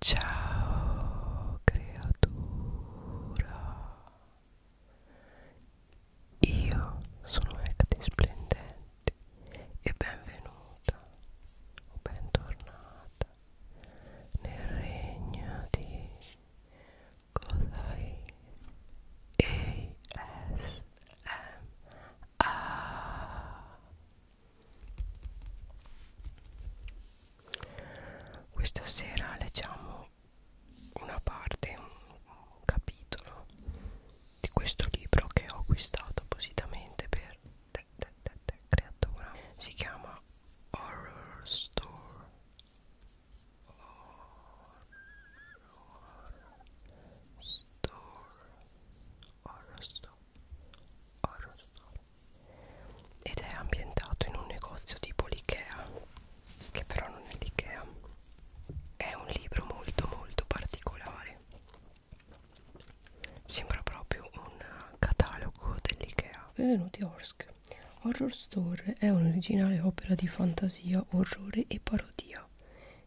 Ciao creatura Io sono Ecti Splendente e benvenuta o bentornata nel regno di Kodai ASMR questa sera leggiamo una parte, un, un capitolo di questo libro che ho acquistato appositamente per te, te, te, te, creatura. Si chiama Horror Store. Horror Store. Horror Store. Horror ed è ambientato in un negozio tipo l'Ikea che però non è l'Ikea è un libro molto molto particolare sembra proprio un catalogo dell'Ikea benvenuti Orsk Horror Store è un'originale opera di fantasia, orrore e parodia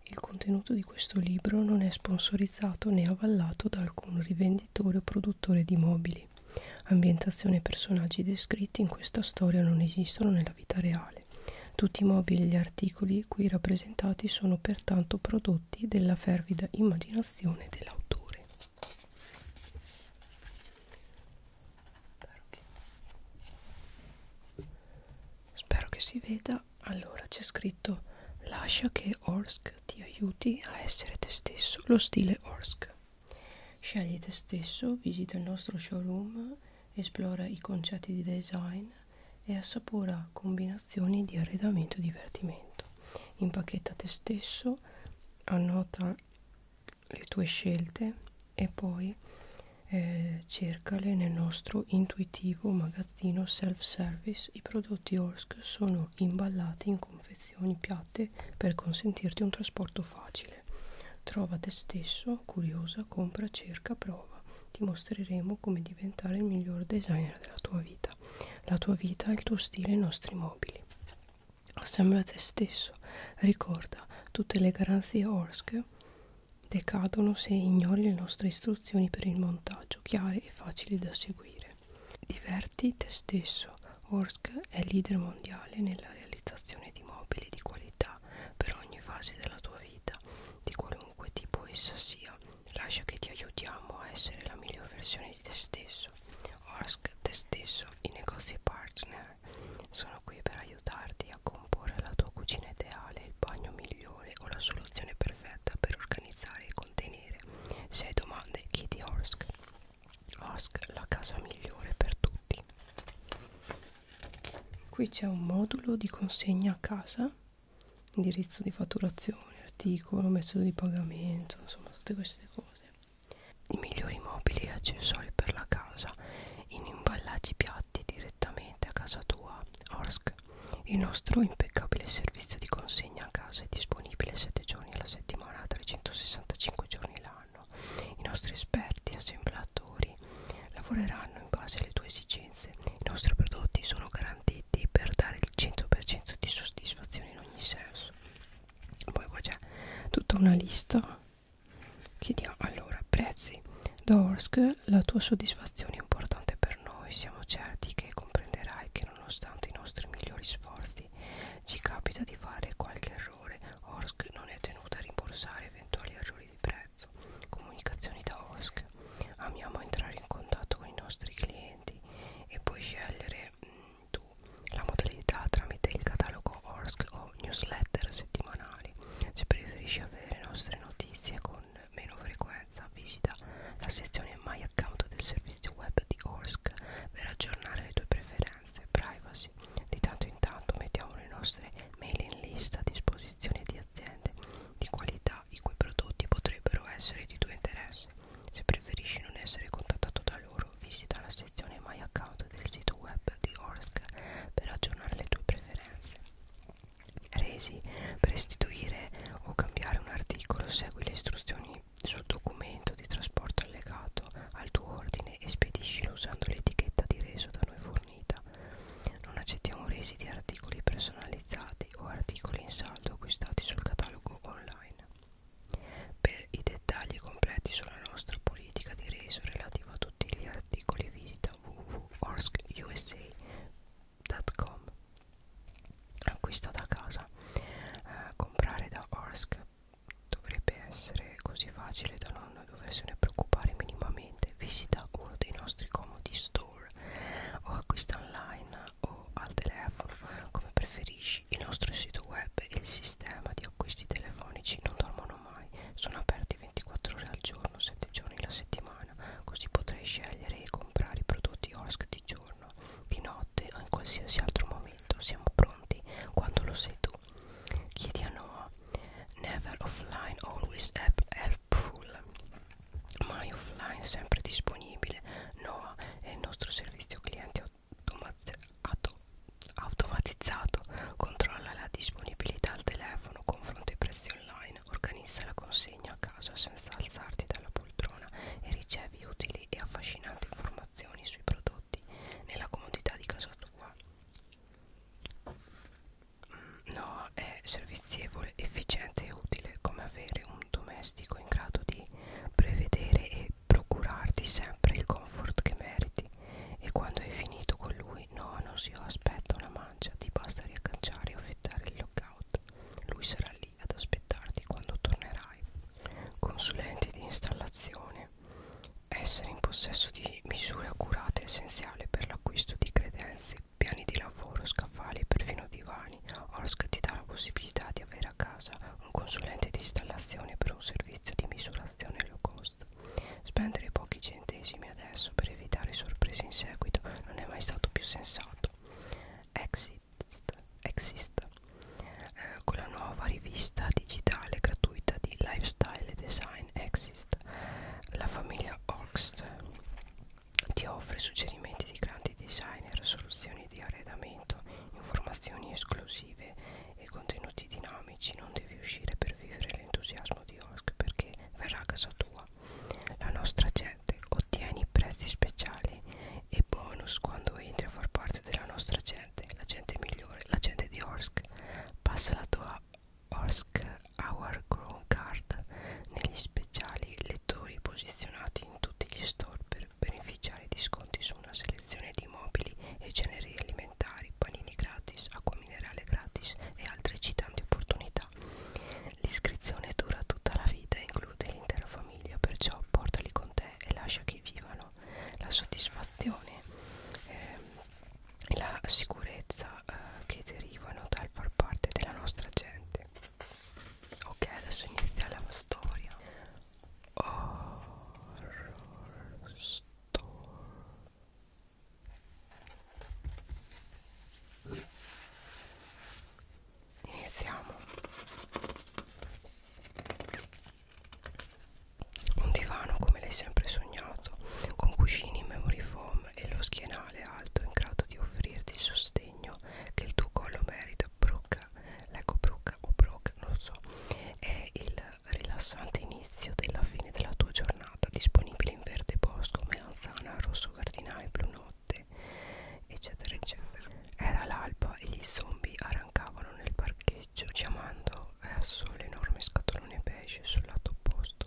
il contenuto di questo libro non è sponsorizzato né avallato da alcun rivenditore o produttore di mobili possibili. Ambientazione e personaggi descritti in questa storia non esistono nella vita reale. Tutti i mobili e gli articoli qui rappresentati sono pertanto prodotti della fervida immaginazione dell'autore. Spero che si veda. Allora c'è scritto Lascia che Orsk Orsk ti aiuti a essere te stesso, lo stile Orsk. Scegli te stesso, visita il nostro showroom, esplora i concetti di design e assapora combinazioni di arredamento e divertimento. Impacchetta te stesso, annota le tue scelte e poi eh, cercale nel nostro intuitivo magazzino self-service. I prodotti Orsk sono imballati in combinazioni confezioni piatte per consentirti un trasporto facile. Trova te stesso, curiosa, compra, cerca, prova. Ti mostreremo come diventare il miglior designer della tua vita. La tua vita, il tuo stile, i nostri mobili. Assembla te stesso. Ricorda, tutte le garanzie ORSC decadono se ignori le nostre istruzioni per il montaggio, chiare e facili da seguire. Diverti te stesso. Orsk è leader mondiale nella realizzazione di mobili di qualità per ogni fase della tua vita, di qualunque tipo essa sia. Lascia che ti aiutiamo a essere la miglior versione di te stesso. Orsk, te stesso, i negozi partner sono qui per aiutarti a comporre la tua cucina ideale, il bagno migliore o la soluzione perfetta per organizzare i contenuti vedere. Se hai domande chiedi Orsk. Orsk, la casa migliore per tutti. Qui c'è un modulo di consegna a casa, indirizzo di fatturazione, articolo, metodo di pagamento, insomma tutte queste cose. I migliori mobili e accessori per la casa in imballaggi piatti direttamente a casa tua. Orsk, il nostro impeccabile servizio di consegna consegna a casa è disponibile 7 giorni alla settimana 365 giorni l'anno i nostri esperti assemblatori lavoreranno in base alle tue esigenze i nostri prodotti sono garantiti per dare il 100% di soddisfazione in ogni senso poi qua c'è tutta una lista chiediamo allora prezzi da Orsk la tua soddisfazione è importante per noi siamo certi che comprenderai che nonostante i nostri migliori sforzi acquisti. Ci capita di fare qualche errore. Orsk non è tenuta a rimborsare eventuali errori di prezzo. Comunicazioni da Orsk. Amiamo entrare in contatto con i nostri clienti e puoi scegliere mh, mm, tu la modalità tramite il catalogo Orsk o newsletter settimanali. Se preferisci avere nostre notizie con meno frequenza, visita la sezione My Account del servizio servizio web di Orsk per aggiornare le tue preferenze e privacy. Di tanto in tanto mettiamo le nostre mailing list a disposizione di aziende di qualità i cui prodotti potrebbero essere di tuo interesse. Se preferisci non essere contattato da loro, visita la sezione My Account del sito web di Orsk per aggiornare le tue preferenze. Resi per restituire o cambiare un articolo, segui le istruzioni sul documento di trasporto allegato al tuo ordine e spediscilo usando l'etichetta di reso da noi fornita. Non accettiamo resi di articoli personalizzati o articoli in saldo acquistati sul catalogo online. Per i dettagli completi sulla nostra politica di reso relativa a tutti gli articoli visita www.orsusa.com acquista da casa eh, comprare da Orsk dovrebbe essere così facile da non doversene preoccupare minimamente visita uno dei nostri comodi store o acquista online o al telefono come preferisci il nostro sito web e il sistema di acquisti telefonici non dormono mai sono aperti 24 ore al giorno 7 giorni la settimana così potrai scegliere e comprare i prodotti Orsk di giorno giorno, di notte o in qualsiasi altro momento. Siamo pronti quando lo sei tu. Chiedi a Noah. Never offline, always helpful. Mai offline, sempre disponibile. Noah è il nostro servizio cliente automatizzato. Controlla la disponibilità al telefono, confronta i prezzi online, organizza la consegna a casa senza alzarti dalla poltrona e ricevi utili utili e affascinanti informazioni sui prodotti nella comodità di casa tua. Mm, no, è servizievole, efficiente e utile come avere un domestico in grado di prevedere e procurarti sempre il comfort che meriti e quando hai finito con lui, no, non si aspetta una mancia, ti basta riaccaggiare e affittare il lockdown robot. Lui sarà lì ad aspettarti quando tornerai. Consulente di installazione. Essere in possesso di misure accurate è essenziale per l'acquisto di credenze, piani di lavoro, scaffali e perfino divani. Orsk ti dà la possibilità di avere a casa un consulente di installazione per un servizio di misurazione low cost. Spendere pochi centesimi adesso per evitare sorprese in seguito non è mai stato più sensato. Exit Exist eh, con la nuova rivista digitale gratuita di Lifestyle Design Exist la famiglia Oxt ti offre suggerimenti di grandi designer, soluzioni di arredamento, informazioni esclusive e contenuti dinamici. Non devi uscire per vivere l'entusiasmo di Osk perché verrà a casa tua. La nostra gente ottieni prezzi speciali e bonus quando entri a far parte della nostra gente, la gente migliore, la gente di Orsk. Passa la tua Orsk Hour Grown Card negli speciali lettori posizionati in tutti gli store per beneficiare di sconti su una selezione di mobili e generi alimentari, panini gratis, acqua minerale gratis e altre eccitanti opportunità. L'iscrizione dura tutta la vita e include l'intera famiglia, perciò portali con te e lascia che vivano la soddisfazione ehm, e la sicurezza eh, che derivano dal far parte della nostra gente. Ok, adesso inizia la storia. Horror Store iniziamo un divano come l'hai sempre sognato con cuscini in memory foam e lo schienale alto in grado di offrirti il sostegno che il tuo collo merita brocca l'eco brocca o brocca non lo so è il rilassante inizio della fine della tua giornata disponibile in verde bosco melanzana rosso cardinale blu notte eccetera eccetera era l'alba e gli zombie arrancavano nel parcheggio chiamando verso eh, l'enorme scatolone beige sul lato opposto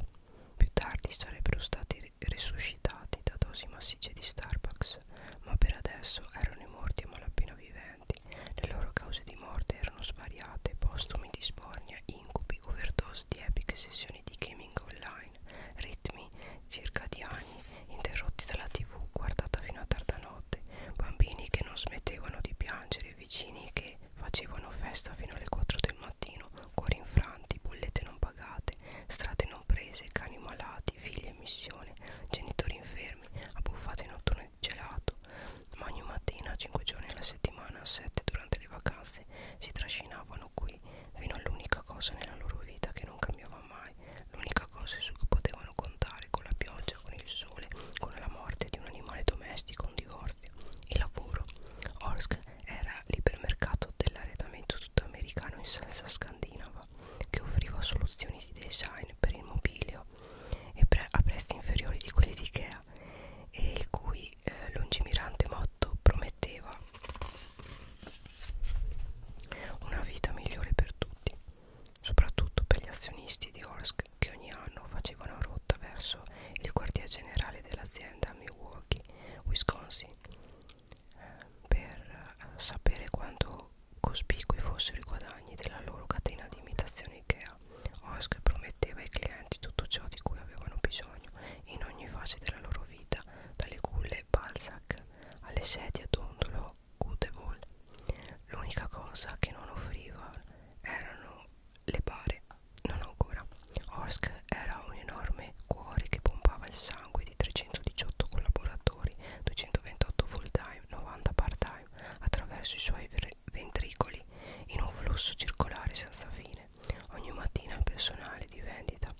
più tardi sarebbero stati resuscitati da dosi massicce di Starbucks ma per adesso erano i morti a malapena viventi le loro cause di morte erano svariate postumi di spornia, incubi, overdose di epiche sessioni di gaming online ritmi anni circa di anni interrotti dalla tv guardata fino a tarda notte bambini che non smettevano di piangere vicini che facevano festa fino alle 4 del mattino cuori infranti bollette non pagate strade non prese cani malati figli in missione genitori infermi abbuffate notturne di gelato ma ogni mattina 5 giorni alla settimana 7 durante le vacanze si trascinavano qui fino all'unica cosa nella loro vita che non cambiava mai mai. L'unica cosa su cui potevano contare con la pioggia, con il sole, con la morte di un animale domestico, un divorzio, il lavoro. Orsk era l'ipermercato dell'arredamento tutto americano in salsa scandinava che offriva soluzioni di design per il mobilio e pre a prezzi inferiori di quelli di Ikea e il cui eh, lungimirante motto prometteva una vita migliore per tutti soprattutto per gli azionisti di Orsk che ogni anno facevano rotta verso il quartier generale dell'azienda a Milwaukee, Wisconsin, eh, per eh, sapere quanto cospicui fossero i guadagni della loro catena di imitazione IKEA. Orsk prometteva ai clienti tutto ciò di cui avevano bisogno in ogni fase della loro vita, dalle culle Balzac alle sedie a dondolo Gutebol. L'unica cosa che non offriva erano le bare, non ancora. Orsk era un enorme cuore che pompava il sangue di 318 collaboratori, 228 full time, 90 part time, attraverso i suoi ventricoli in un flusso circolare senza fine. Ogni mattina il personale di vendita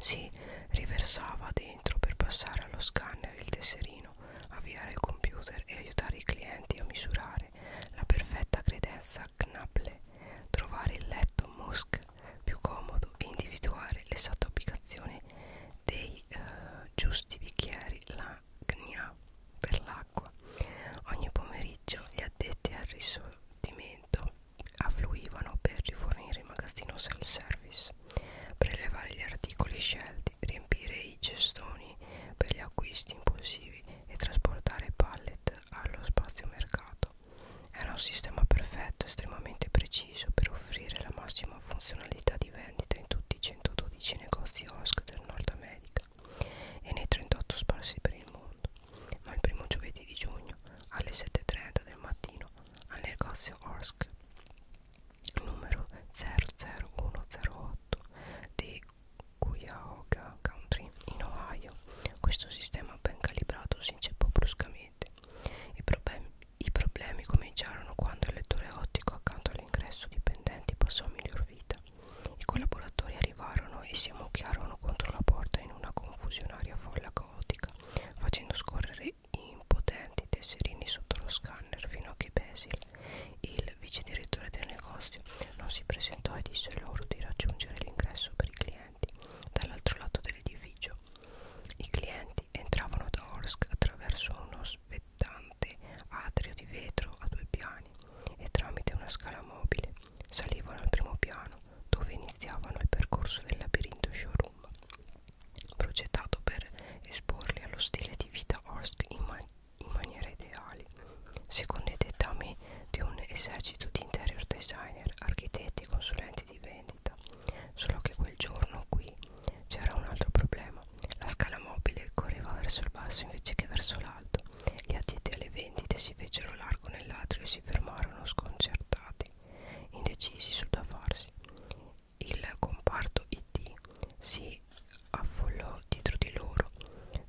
si riversava dentro per passare allo scanner il tesserino, avviare il computer e aiutare i clienti a misurare la perfetta credenza Knapple, trovare il letto Musk più comodo e individuare l'esatta ubicazione dei eh, giusti bicchieri la gna per l'acqua. Ogni pomeriggio gli addetti al risorgimento affluivano per rifornire il magazzino self-service service prelevare gli articoli scelti riempire i cestoni per gli acquisti impulsivi e trasportare pallet allo spazio mercato era un sistema perfetto estremamente preciso per offrire la massima funzionalità di vendita in tutti i 112 negozi OSC del Nord America e nei 38 sparsi per il mondo ma il primo giovedì di giugno alle 7.30 del mattino al negozio OSC numero 00108 di Cuyahoga Country in Ohio. Questo sistema ben calibrato si inceppò bruscamente. I problemi, I problemi cominciarono quando il lettore ottico accanto all'ingresso dipendenti passò a miglior vita. I collaboratori arrivarono e si ammucchiarono contro la porta in una confusionaria folla caotica, facendo scorrere impotenti tesserini sotto lo scanner fino a che Basil, il vice direttore del negozio, non si presentò e disse loro di raggiungere l'ingresso per i clienti dall'altro lato dell'edificio. I clienti entravano da Orsk attraverso uno spettante atrio di vetro a due piani e tramite una scala mobile salivano al primo piano dove iniziavano il percorso del labirinto showroom progettato per esporli allo stile di vita Orsk in, man in maniera ideale secondo i dettami di un esercito di interior designer, architetti e consulenti di vendita solo che quel giorno qui c'era un altro problema la scala mobile correva verso il basso invece che verso l'alto gli addetti alle vendite si fecero largo nell'atrio e si fermarono sconcertati indecisi sul da farsi il comparto IT si affollò dietro di loro,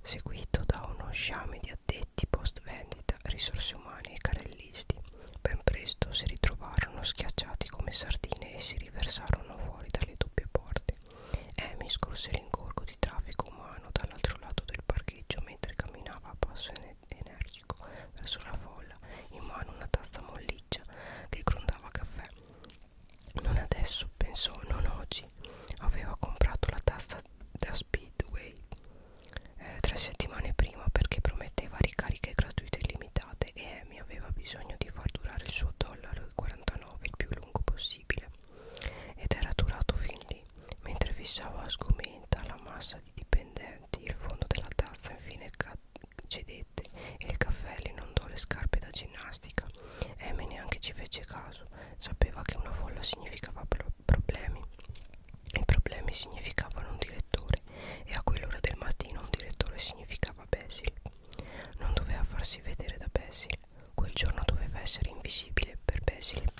seguito da uno sciame di addetti post vendita, risorse umane e carellisti. Ben presto si ritrovarono schiacciati come sardine e si riversarono fuori dalle doppie porte. Amy scorse l'ingorgo di traffico umano dall'altro lato del parcheggio mentre camminava a passo energico verso la folla spalla in mano una tazza molliccia che grondava caffè non adesso pensò non oggi aveva comprato la tazza da speedway eh, tre settimane prima perché prometteva ricariche gratuite illimitate e Amy aveva bisogno di far durare il suo dollaro e 49 il più lungo possibile ed era durato fin lì mentre fissava sgomenta la massa di dipendenti il fondo della tazza infine cedette e il caffè le inondò le scarpe da ginnastica. Amy neanche ci fece caso, sapeva che una folla significava pro problemi. I problemi significavano un direttore e a quell'ora del mattino un direttore significava Basil. Non doveva farsi vedere da Basil, quel giorno doveva essere invisibile per Basil.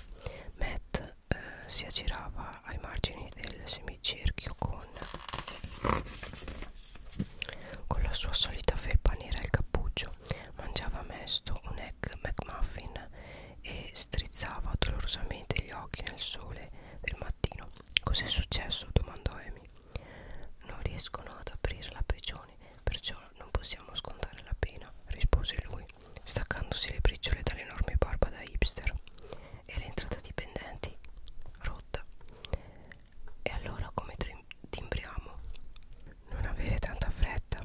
Matt eh, si aggirava ai margini del semicerchio con, con la sua solita felpa nera e il cappuccio. Mangiava mesto un egg McMuffin e strizzava dolorosamente gli occhi nel sole del mattino. Cos'è successo? domandò Amy. Non riescono ad aprire la prigione, perciò non possiamo scontare la pena, rispose lui, staccandosi le briciole dall'enorme barba da hipster e l'entrata dipendenti rotta. E allora come timbriamo? Non avere tanta fretta,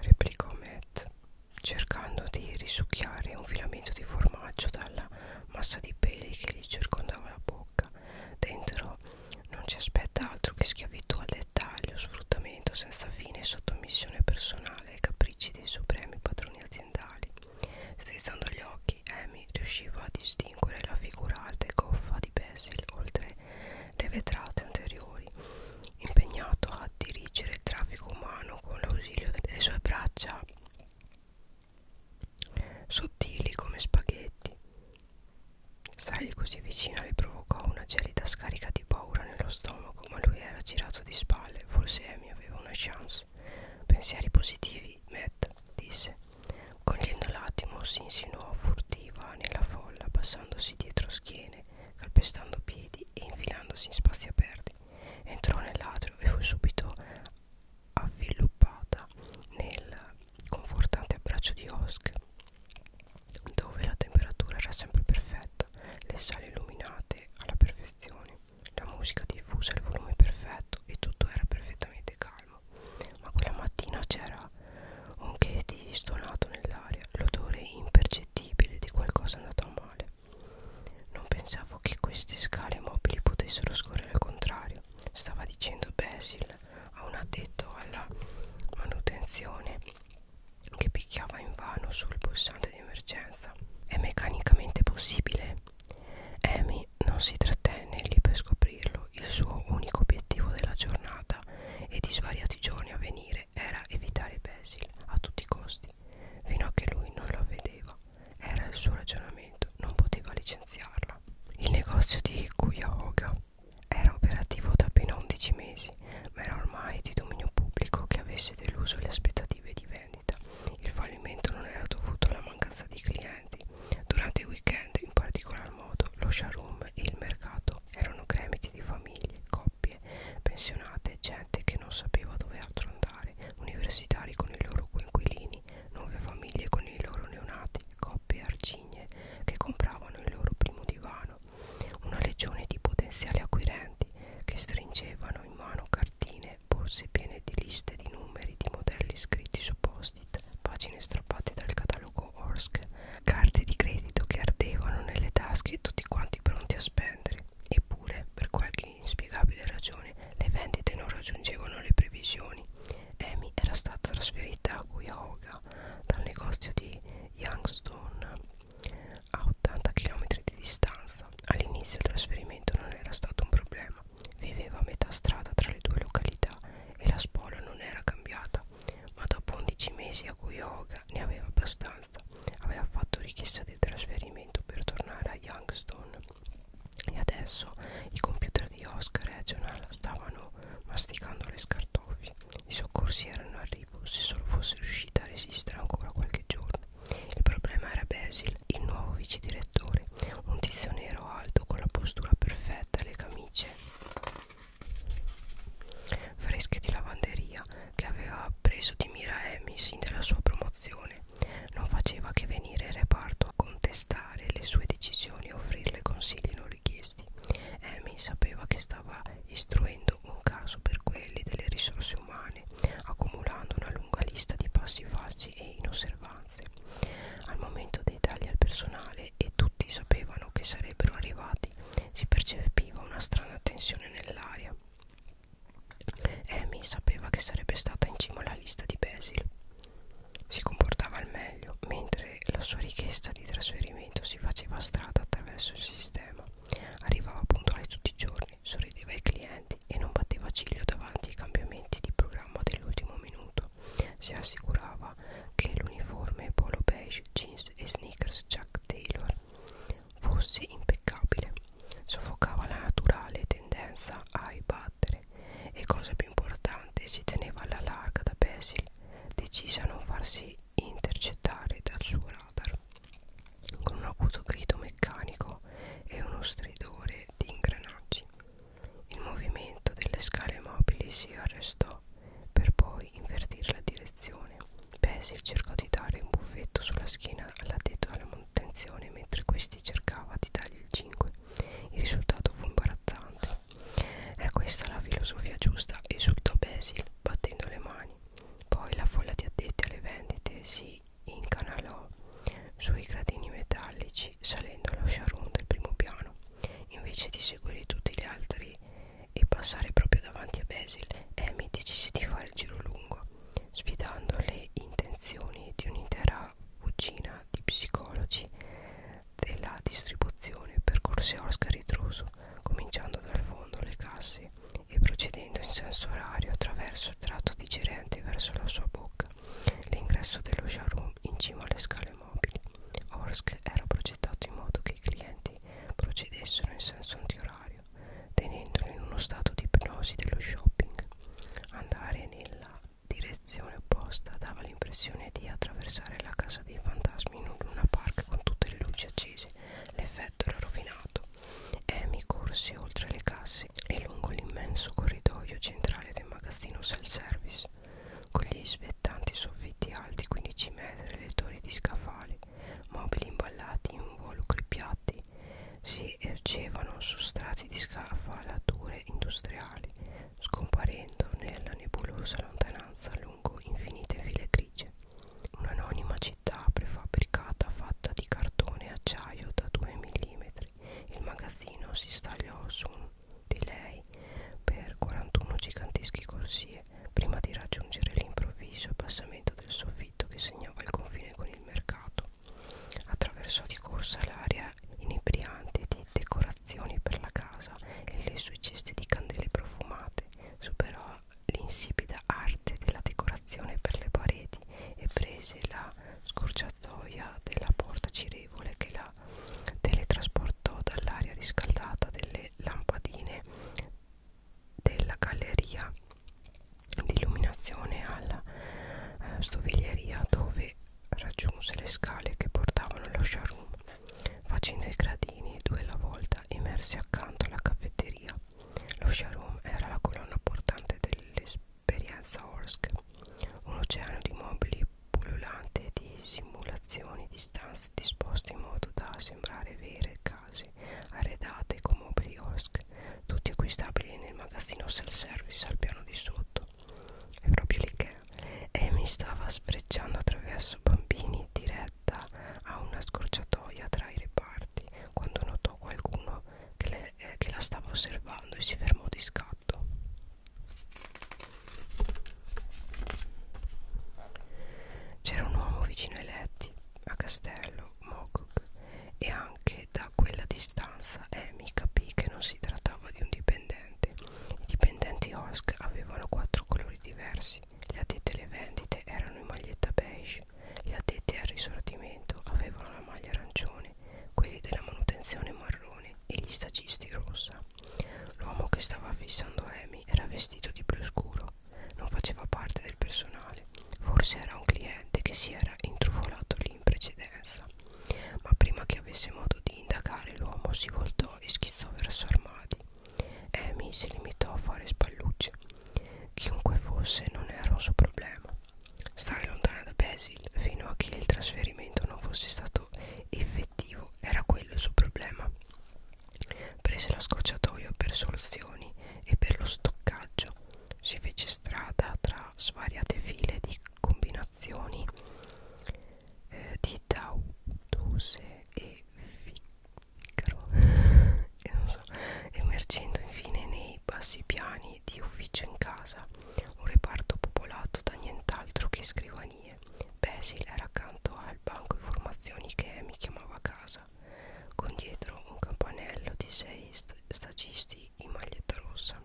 replicò Matt, cercando di risucchiare un filamento di formaggio dalla massa di peli che gli circondava la bocca. Dentro non ci aspetta altro che schiavitù al dettaglio, sfruttamento senza fine, sottomissione personale ai capricci dei supremi padroni aziendali. Strizzando gli occhi occhi eh, Amy riusciva a distinguere la figurata e goffa di Basil oltre le vetrate anteriori impegnato a dirigere il traffico umano con l'ausilio delle sue braccia sottili come spaghetti stargli così vicina le provocò una gelida scarica di paura nello stomaco ma lui era girato di spalle forse Amy aveva una chance Max. Pensieri positivi, Matt, disse. Cogliendo l'attimo, si insinuò furtiva nella folla, passandosi dietro schiene, calpestando piedi e infilandosi in spazi aperti. Entrò nell'atrio e fu subito avviluppata nel confortante abbraccio di Osk, dove la temperatura era sempre perfetta, le sale illuminate alla perfezione. La musica diffusa, il volume perfetto e tutto era perfettamente calmo. Ma quella mattina c'era un che di stonato nell'aria, l'odore impercettibile di qualcosa andato a male. Non pensavo che queste scale mobili potessero scorrere al contrario, stava dicendo Basil a un addetto alla manutenzione che picchiava invano sul pulsante di emergenza. È meccanicamente possibile? Amy Gianni non si trattenne lì per scoprirlo. Il suo unico obiettivo della giornata e di svariati giorni a venire era evitare Basil a tutti i costi, fino a che lui non la vedeva. Era il suo ragionamento, non poteva licenziarla. Il negozio di Cuyahoga era operativo da appena 11 mesi, ma era ormai di dominio pubblico che avesse deluso le aspettative di Van vendita. Il fallimento non era dovuto alla mancanza di clienti. Durante i weekend, in particolar modo, lo showroom e il mercato erano gremiti di famiglie, coppie, pensionate, gente che non sapeva dove altro andare, universitari con i loro coinquilini, nuove famiglie con i loro neonati, coppie arcigne che compravano il loro primo divano, una legione di potenziali acquirenti che stringevano in mano cartine vecchie borse piene di liste di numeri di modelli scritti su post-it, pagine strappate dal catalogo Orsk, carte di credito che ardevano nelle tasche tutti quanti pronti a spendere. Eppure, per qualche inspiegabile ragione, le vendite non raggiungevano le previsioni. Amy era stata trasferita a Cuyahoga dal negozio di Youngstown a 80 km di distanza. All'inizio il trasferimento non era stato un problema, Spona viveva a metà strada tra le due località e la Spona non era cambiata, ma dopo 11 mesi a cui Hoga ne aveva abbastanza, aveva fatto richiesta di trasferimento per tornare a Youngstown e adesso i computer di Oscar e Regional stavano masticando le scartoffie. I soccorsi erano in arrivo se solo fosse riuscita a resistere ancora qualche giorno. Il problema era Basil, il nuovo vice direttore, un tizio nero alto con la postura perfetta e le camicie fresche di lavanderia che aveva preso di mira Amy sin dalla sua promozione. Non faceva che venire in reparto a contestare le sue decisioni e offrirle consigli non richiesti. Amy sapeva che stava istruendo un caso per quelli delle risorse umane, accumulando una lunga lista di passi falsi equivoci e inosservanze. Al momento dei tagli al personale e tutti sapevano che sarebbero arrivati, si percepiva una strana tensione nell'aria. Amy sapeva che sarebbe stata in cima alla lista di Basil. Si comportava al meglio, mentre la sua richiesta di trasferimento si faceva strada attraverso il sistema. Arrivava puntuale tutti i giorni, Henry sorrideva ai clienti e non batteva ciglio davanti ai cambiamenti di programma dell'ultimo minuto. Si assicurava che l'uniforme polo beige, jeans e sneakers Jack Taylor fosse impeccabile. Soffocava la naturale tendenza a ribattere e, cosa più importante, si teneva alla larga da Basil, decisa a non farsi intercettare dal suo radar. Con un acuto grido meccanico e uno stridore rumore di ingranaggi. Il movimento delle scale mobili si arrestò per poi invertire la direzione. Basil cercò di dare un buffetto sulla schiena all'addetto alla manutenzione mentre questi cercava di dargli il 5. Il risultato fu imbarazzante. È questa la filosofia giusta, esultò Basil battendo le mani. Poi la folla di addetti alle vendite si incanalò sui gradini metallici salendo allo showroom del primo piano invece di seguire tutti gli altri e passare proprio davanti a Basil Amy decise di fare il giro lungo sfidando le intenzioni di un'intera fucina di psicologi della distribuzione percorse Oscar ritroso cominciando dal fondo le casse e procedendo in senso orario attraverso il tratto di girente verso la sua bocca L'ingresso dello showroom in cima alle scale mobili. Orsk era progettato in modo che i clienti procedessero in senso antiorario, tenendolo in uno stato di ipnosi dello shopping. Andare nella direzione opposta dava l'impressione di attraversare la casa dei fantasmi in un luna park con tutte le luci accese. L'effetto era rovinato. Amy corse oltre le casse e lungo l'immenso corridoio centrale del magazzino self-service, con gli svettanti soffitti alti 15 metri e le torri di scaffali, mobili imballati in involucri piatti, si ergevano su strati di scaffalature industriali, scomparendo nella nebulosa lontananza lungo infinite file grigie. Un'anonima città prefabbricata fatta di cartone e acciaio da 2 mm il magazzino si stagliò su di lei per 41 giganteschi corsie prima di raggiungere l'improvviso abbassamento del soffitto che segnava il confine con il mercato. Attraversò di corsa l'area inebriante di decorazioni per la casa e le sue ceste di candele profumate. Superò l'insipida arte della decorazione decorazione per le pareti e prese la scorciatoia della porta girevole che la teletrasportò dall'aria riscaldata delle lampadine della galleria di illuminazione alla eh, stoviglieria dove raggiunse le scale che portavano allo showroom facendo i gradini due alla volta immersi accanto alla caffetteria lo showroom era la colonna portante delle Perianza-Orsk, un oceano di mobili pululante di simulazioni di stanze disposte in modo da sembrare vere case arredate con mobili Orsk, tutti acquistabili nel magazzino self-service al piano di sotto. È proprio l'IKEA e mi stava sbrecciando attraverso bambini diretta a una scorciatoia tra i reparti quando notò qualcuno amico che, le, eh, che la stava osservando e si fermò di scatto. C'era un uomo vicino ai letti, a castello, Mogok, e anche da quella distanza Amy capì che non si trattava di un dipendente. I dipendenti Osk avevano quattro colori diversi, gli addetti alle vendite erano in maglietta beige, gli addetti al risortimento avevano la maglia arancione quelli della manutenzione marrone e gli stagisti rossa. L'uomo che stava fissando Amy era vestito di blu scuro, non faceva parte del personale, forse era un cliente che si era intrufolato lì in precedenza. Ma prima che avesse modo di indagare, l'uomo si voltò e schizzò verso Armadi. Amy si limitò a fare spallucce. Chiunque fosse non era un suo problema. Stare lontana da Basil fino a che il trasferimento non fosse stato effettivo era quello il suo problema. Prese la scorciatoia per soluzioni e per lo stoccaggio. Si fece strada tra svariate file di combinazioni eh, di Tautuse e Vicaro e non so, emergendo infine nei bassi piani di ufficio in casa un reparto popolato da nient'altro che scrivanie. Basil era accanto al banco di formazioni che Amy chiamava a casa, con dietro un campanello di sei st stagisti in maglietta rossa.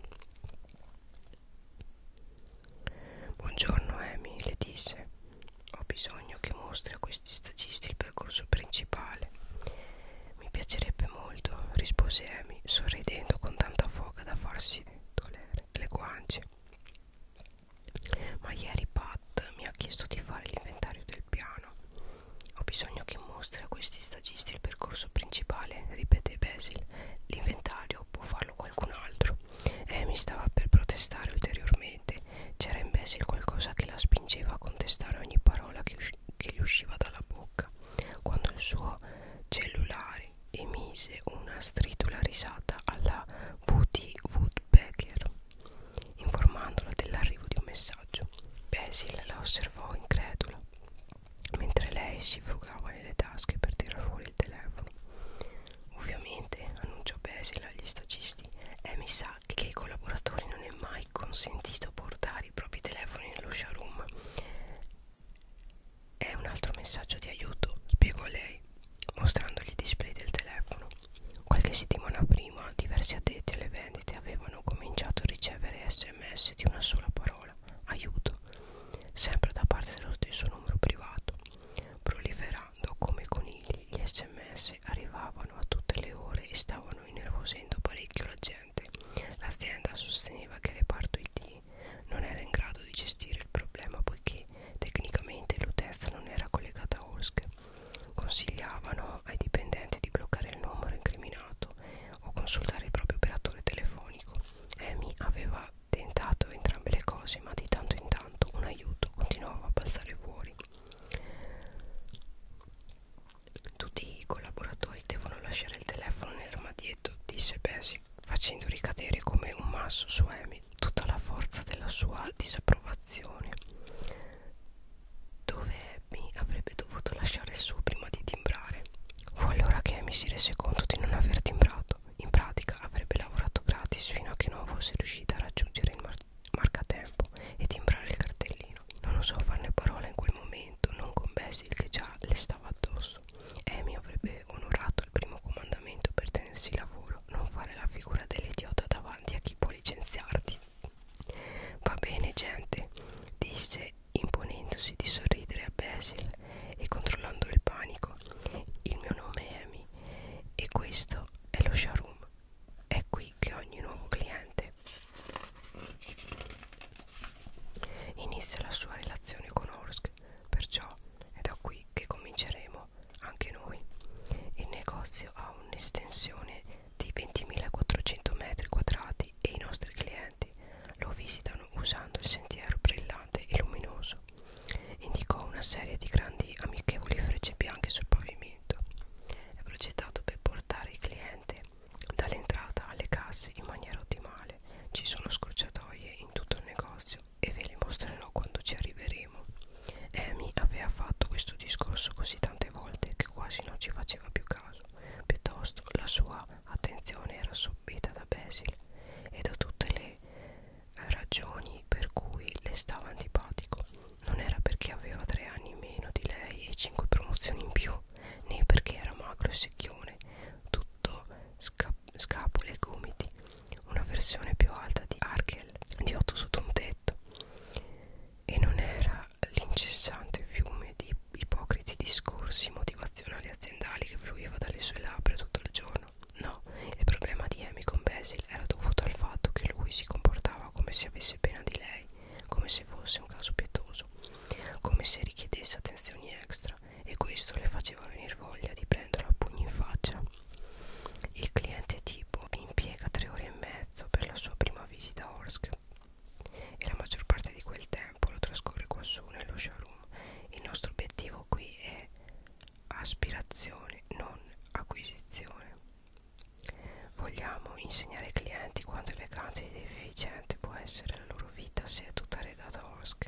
Buongiorno Amy, le disse. Ho bisogno che mostri a questi stagisti il percorso principale. Mi piacerebbe molto, rispose Amy, sorridendo con tanta foga da farsi dolere le guance. Ma ieri Pat mi ha chiesto di fare l'inventario del piano. Ho bisogno che mostri a questi stagisti il percorso principale, ripete Basil. L'inventario può farlo qualcun altro. Amy stava per protestare ulteriormente. C'era in Basil qualcosa che la spingeva a contestare ogni parola che usciva che gli usciva dalla bocca quando il suo cellulare emise una stridula risata alla Woody Woodpecker informandola dell'arrivo di un messaggio. Basil la osservò incredula mentre lei si frugava nelle tasche per tirar fuori il telefono. Ovviamente, annunciò Basil agli stagisti, è eh, mi sa che ai collaboratori non è mai consentito portare i propri telefoni nello showroom è un altro messaggio di aiuto, spiegò lei, mostrandogli i display del telefono. Qualche settimana prima diversi addetti alle vendite avevano cominciato a ricevere sms di una sola parola, aiuto, sempre da parte dello stesso numero privato. Proliferando come conigli, gli sms arrivavano a tutte le ore e stavano innervosendo parecchio la gente dipendenti. L'azienda sosteneva che il reparto IT non era in grado di gestire il problema poiché tecnicamente l'utenza non era collegata a OSC. Consigliavano ai dipendenti di bloccare il numero incriminato o consultare il proprio operatore telefonico. Amy aveva tentato entrambe le cose, ma di tanto in tanto un aiuto continuava a passare fuori. Tutti i collaboratori devono lasciare il telefono nell'armadietto, disse Bessie, facendo ricadere come un masso su Amy tutta la forza della sua disapprovazione. Dove Amy avrebbe dovuto lasciare il suo prima di timbrare? Fu allora che Amy si rese conto di non aver timbrato. In pratica avrebbe lavorato gratis fino a che non fosse riuscita a raggiungere il mar marcatempo e timbrare il cartellino. Non osò farne parola in quel momento comandamento non con Basil che già le stava addosso Amy avrebbe onorato il primo comandamento per tenersi lavoro non fare la figura dell'idiota davanti a chi può licenziarti va bene gente disse imponendosi di sorridere a Basil e controllando il panico il mio nome è Amy e questo è lo showroom è qui che ogni nuovo cliente Inizia la sua relazione con Orsk, perciò è da qui che cominceremo anche noi. Il negozio ha un'estensione di 20.400 metri quadrati e i nostri clienti lo visitano usando il sentiero brillante e luminoso. Indicò una serie di grandi amichevoli frecce bianche sul pavimento. È progettato per portare il cliente Dall'entrata alle casse in maniera ottimale ci sono scorciatoie in tutto il negozio e ve le mostrerò quando ci arriveremo. Amy aveva fatto questo discorso così tante volte che quasi non ci faceva più caso, piuttosto la sua attenzione era assorbita da Basil e da tutte le ragioni per cui le stava antipatico. Non era perché aveva tre anni in meno di lei e cinque promozioni in più, né perché era magro e secchione, tutto sca scapole e gomiti, una versione più alta di Arkel, di otto sotto un tetto, e non era l'incessante fiume di ipocriti discorsi motivazionali aziendali che fluiva dalle sue labbra tutto il giorno. No, il problema di Amy con Basil era dovuto al fatto che lui si comportava come se avesse pena di lei come se fosse un caso pietoso, come se richiedesse attenzioni extra e questo le faceva venir voglia di prenderlo a pugni in faccia. Il cliente tipo impiega tre ore e mezzo per la sua prima visita a Orsk e la maggior parte di quel tempo lo trascorre qua su nello showroom. Il nostro obiettivo qui è aspirazione, non acquisizione. Vogliamo insegnare ai clienti quanto elegante ed efficiente può essere la loro loro vita se è tutta redata a Orsk.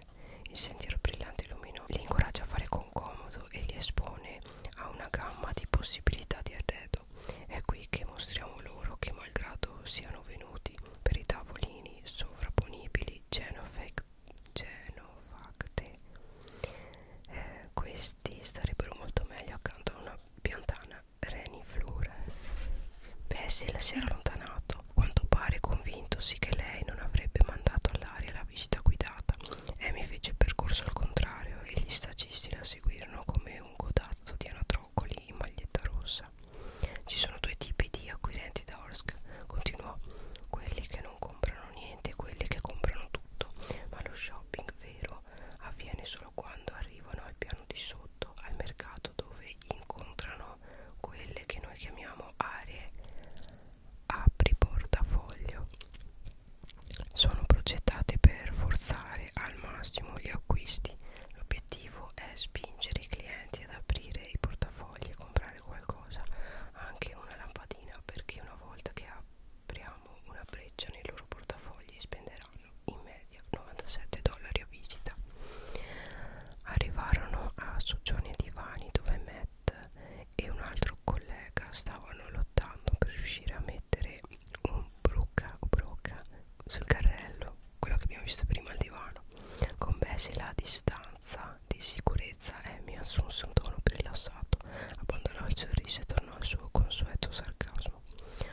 Il sentiero brillante e luminoso li incoraggia a fare con comodo e li espone a una gamma di possibilità di arredo. È qui che mostriamo loro che malgrado siano venuti per i tavolini sovrapponibili genofec genofacte, eh, questi starebbero molto meglio accanto a una piantana Reniflure. Basil si era allontanato, quanto pare convintosi che lei non avrebbe mandato all'aria la visita guidata. Amy fece il percorso al contrario e gli stagisti la seguirono come un codazzo di anatroccoli in maglietta rossa. Ci sono due tipi di acquirenti da Orsk, continuò, quelli che non comprano niente e quelli che comprano tutto, ma lo shopping vero avviene solo solo quando arrivano al piano di sotto al mercato dove incontrano quelle che noi chiamiamo aree apri portafoglio sono progettate per forzare al massimo gli acquisti l'obiettivo è spingere i clienti ad aprire i portafogli e comprare qualcosa anche una lampadina perché una volta che apriamo una breccia nei loro portafogli spenderanno in media 97 dollari a visita arrivarono a soggiorni e divani dove Matt e un altro collega stavano lottando per riuscire a mettere un brocca o brocca sul carrello quello che abbiamo visto prima al divano con Bessie la distanza di sicurezza Amy assunse un tono più rilassato abbandonò il sorriso e tornò al suo consueto sarcasmo turismo.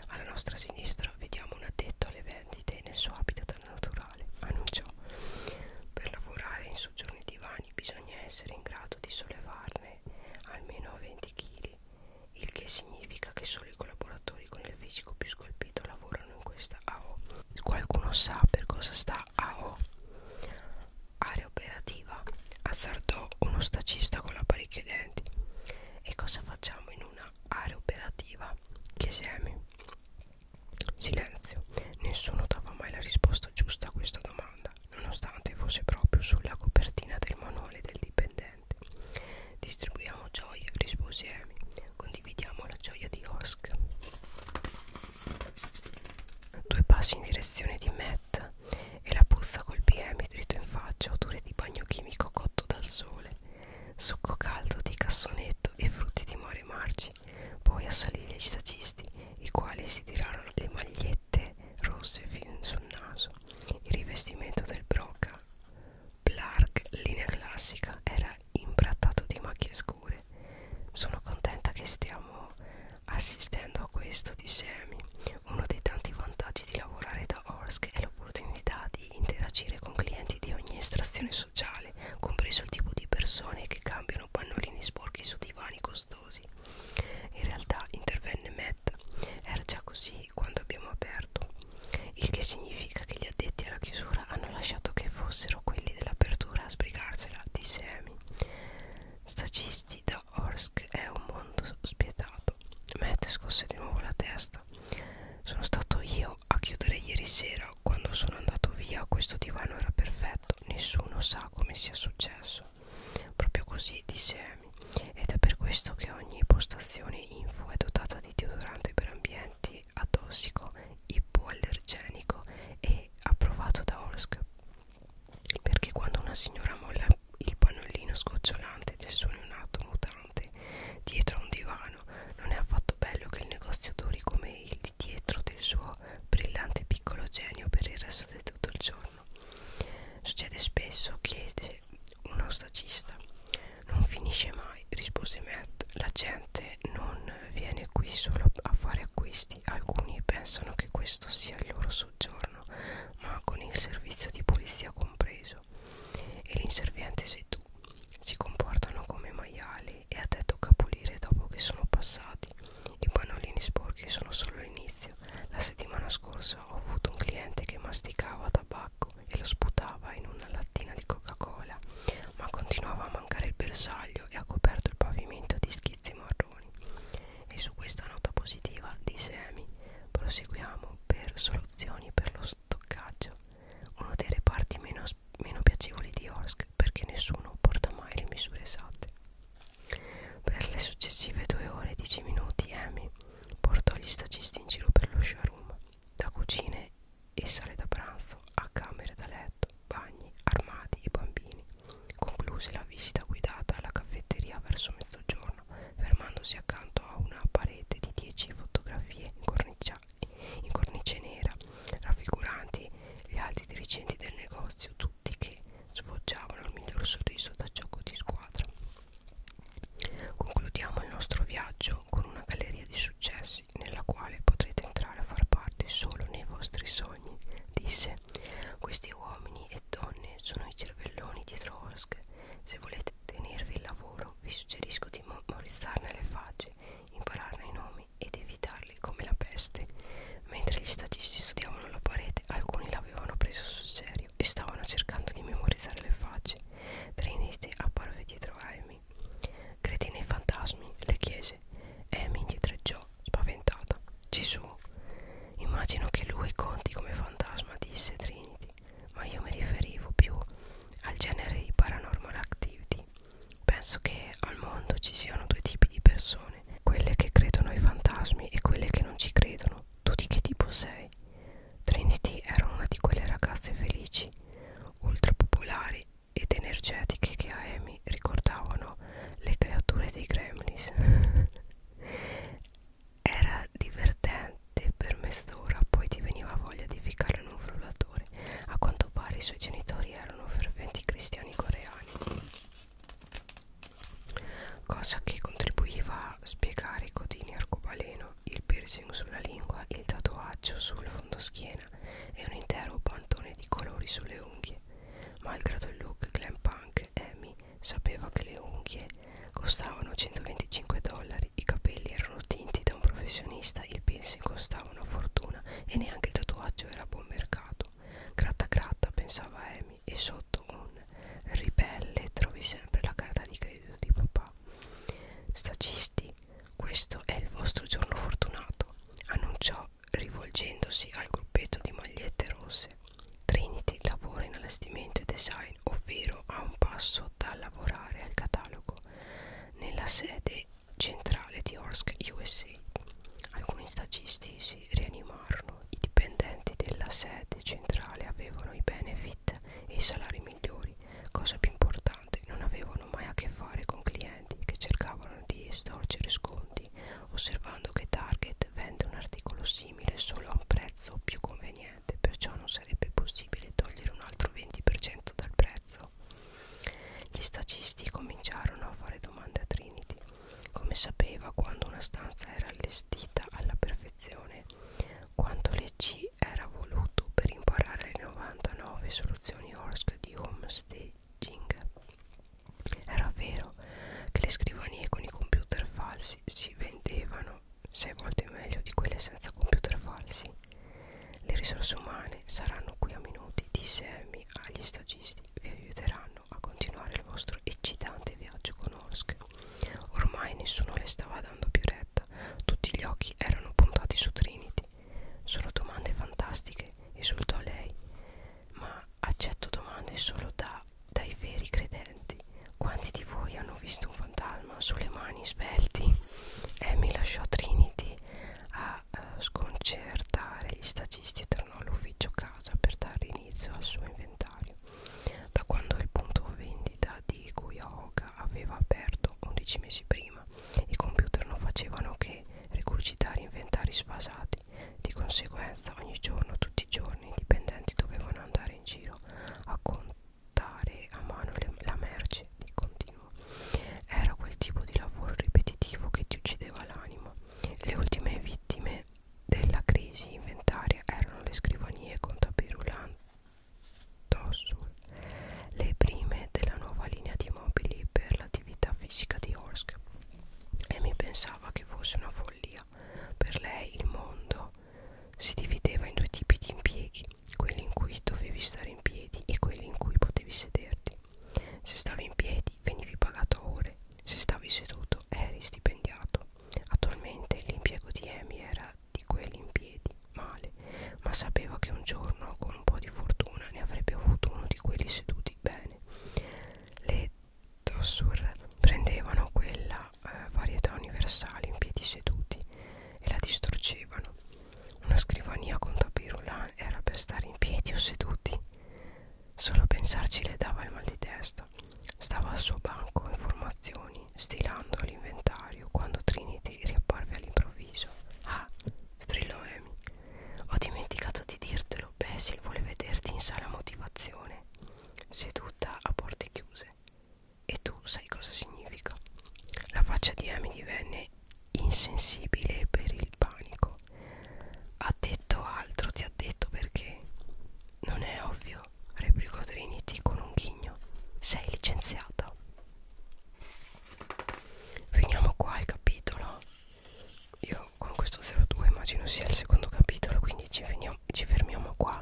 Alla nostra sinistra vediamo un addetto alle vendite nel suo habitat naturale. Annunciò: Per lavorare in soggiorni divani bisogna essere in grado di sollevarne almeno 20 kg, il che significa che solo i collaboratori con il fisico più scolpito lavorano in questa AO. Qualcuno sa per cosa sta AO? Area operativa, azzardò uno stacista con l'apparecchio ai denti. E cosa facciamo in una area operativa Chiesemi Silenzio, nessuno dava mai la risposta giusta a questa domanda, nonostante fosse proprio sulla copertina del manuale del dipendente. Distribuiamo gioia, rispose Amy, condividiamo la gioia di Osk. Due passi in direzione di Matt e la puzza colpì Amy dritto in faccia, odore di bagno chimico cotto dal sole succo caldo di cassonetto e frutti di mare marci. Poi assalì gli stagisti, i quali si tirarono le magliette rosse fin sul naso. Il rivestimento del Broca Blarg linea classica era imbrattato di macchie scure. Sono contenta che stiamo assistendo a questo, disse Amy. Uno dei tanti vantaggi di lavorare da Orsk è l'opportunità di interagire con clienti di ogni estrazione sociale, compreso il tipo di persone che cambiano pannolini sporchi su divani costosi. In realtà, intervenne Matt, era già così quando abbiamo aperto, il che significa che gli addetti alla chiusura hanno lasciato che fossero quelli dell'apertura a sbrigarcela, disse Amy. Stagisti da Orsk è un mondo spietato. Matt scosse di nuovo la testa. Sono stato io fino a chiudere ieri sera quando sono andato via questo divano era perfetto nessuno sa come sia successo proprio così disse Amy ed è per questo che ogni postazione info è dotata di deodorante per ambienti atossico ipoallergenico e approvato da Orsk perché quando una signora molla il pannolino scocciolante del suo neonato interessante dietro un divano non è affatto bello che il negozio duri come il di dietro del suo brillante piccolo genio per il resto di tutto il giorno succede spesso chiede uno stagista non finisce mai rispose Matt la gente non viene qui solo a fare acquisti alcuni pensano che questo sia il loro soggiorno ma con il servizio di polizia compreso e l'inserviente sei tu si comportano come maiali e a te tocca pulire dopo che sono passati. I pannolini sporchi sono solo l'inizio. La settimana scorsa ho avuto un cliente che masticava tabacco e lo sputava in una lattina di Coca-Cola, ma continuava a mancare il bersaglio e ha coperto il pavimento di schizzi marroni. E su questa nota positiva disse Amy, proseguiamo per soluzioni per lo, stoccaggio uno dei reparti meno, meno piacevoli di Orsk perché nessuno porta mai le misure esatte per le successive due ore e dieci minuti Amy portò gli stagisti in giro per lo showroom da cucine e sale da pranzo a camere da letto, bagni, armadi e bambini concluse la visita guidata alla caffetteria verso mezzogiorno fermandosi accanto a una parete di 10 fotografie in, cornicia, in cornice nera raffiguranti gli altri dirigenti del negozio tutti che sfoggiavano il miglior sorriso da gioco di squadra concludiamo il nostro viaggio con una galleria di successi nella quale potrete entrare a far parte solo nei vostri sogni disse questi uomini e donne sono i cervelloni di Trosk se volete volete tenervi il lavoro, vi suggerisco di memorizzarne le facce, impararne i nomi ed evitarli come la peste. Mentre gli stagisti studiavano la parete, alcuni l'avevano preso sul serio e stavano cercando di memorizzare le facce. Trinity apparve dietro Amy. Credi nei fantasmi? le chiese. Amy indietreggiò, spaventata. Gesù. Immagino che lui conti come fantasma, disse Trinity ma io mi riferivo più al genere di paranormal activity. Penso che al mondo ci siano due tipi di persone, quelle che credono ai fantasmi e quelle che non ci credono. Tu di che tipo sei? Trinity era una di quelle ragazze felici, ultra popolari ed energetiche che a Amy ricordavano le creature dei Gremlins. era divertente per mezz'ora, poi ti veniva voglia di ficcare in un frullatore. A quanto pare i suoi genitori erano ferventi cristiani coreani, cosa che contribuiva a spiegare i codini arcobaleno, il piercing sulla lingua, il tatuaggio sul fondoschiena e un intero pantone di colori sulle unghie. Malgrado il look glam punk, Amy sapeva che le unghie Costavano 125 dollari, i capelli erano tinti da un professionista, il piercing costava una fortuna e neanche il tatuaggio era a buon mercato. Gratta gratta, pensava Amy, e sotto un ribelle trovi sempre la carta di credito di papà. Stagisti, questo è il vostro giorno fortunato, annunciò rivolgendosi al gruppetto di magliette rosse. Trinity lavora in allestimento e design, ovvero a un passo da lavorare al catalogo nella sede centrale di Orsk USA. Alcuni stagisti si rianimarono, i dipendenti della sede centrale avevano i benefit e i salari migliori, cosa più importante, non avevano mai a che fare con clienti che cercavano di estorcere sconti, osservando che Target vende un articolo simile solo a un prezzo più conveniente niente perciò non sarebbe possibile togliere un altro 20% dal prezzo gli stacisti cominciarono a fare domande a Trinity come sapeva quando una stanza era allestita alla perfezione quanto le C era voluto per imparare le 99 soluzioni ORSC di homestaging era vero che le scrivanie con i computer falsi si vendevano sei volte meglio di quelle senza computer falsi. Le risorse umane saranno qui a minuti, disse Amy agli stagisti, vi aiuteranno a continuare il vostro eccitante viaggio con Orsk. Ormai nessuno le stava dando più retta, tutti gli occhi erano puntati su Trinity. Sono domande fantastiche, esultò lei, ma accetto domande solo da, dai veri credenti. Quanti di voi hanno visto un fantasma sulle mani svelti? E mi lasciò Trinity a uh, sconcertare gli stagisti e tornò all'ufficio casa per dare inizio al suo inventario. Da quando il punto vendita di Kuyaoka aveva aperto 11 mesi prima, i computer non facevano che recurcitare inventari sfasati. Di conseguenza ogni giorno, tutti i giorni, i dipendenti dovevano andare in giro a contare portare a mano le, la merce di continuo era quel tipo di lavoro ripetitivo che ti uccideva l'anima le ultime vittime della crisi inventaria erano le scrivanie con tapirulantosul le prime della nuova linea di mobili per l'attività fisica di Orsk e mi pensava che fosse una follia per lei il mondo si divideva in due tipi di impieghi, quelli in cui dovevi stare in piedi e quelli in cui potevi sederti. Se stavi in piedi venivi pagato a ore, se stavi seduto eri stipendiato. Attualmente l'impiego di Amy era di quelli in piedi, male, ma sapeva che un giorno con un po' di fortuna ne avrebbe avuto uno di quelli seduti bene. Le tossur prendevano quella della eh, varietà universale in piedi seduti e la distruggevano. Una scrivania con tapirulan era per stare in piedi o seduti. Solo a pensarci le dava il mal di testa. Stava al suo banco in formazioni, stilando l'inventario quando Trinity riapparve all'improvviso. Ah, strillò Amy. Ho dimenticato di dirtelo, Basil vuole vederti in sala motivazione. Seduta a porte chiuse. E tu sai cosa significa? La faccia di Amy divenne insensibile per il panico. Ha detto altro, ti ha detto perché? Non è ovvio, replicò Trinity con un ghigno. Sei licenziata. Finiamo qua il capitolo. Io con questo 02 immagino sia il secondo capitolo, quindi ci, finiamo, ci fermiamo qua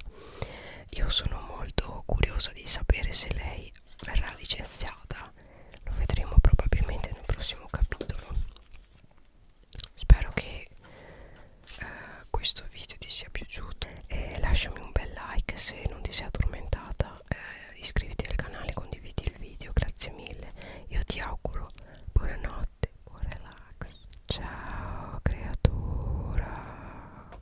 io sono molto curiosa di sapere se lei verrà licenziata lo vedremo probabilmente nel prossimo capitolo spero che eh, questo video ti sia piaciuto e lasciami un bel like se non ti sei addormentata eh, iscriviti al canale condividi il video grazie mille io ti auguro buonanotte buon relax ciao creatura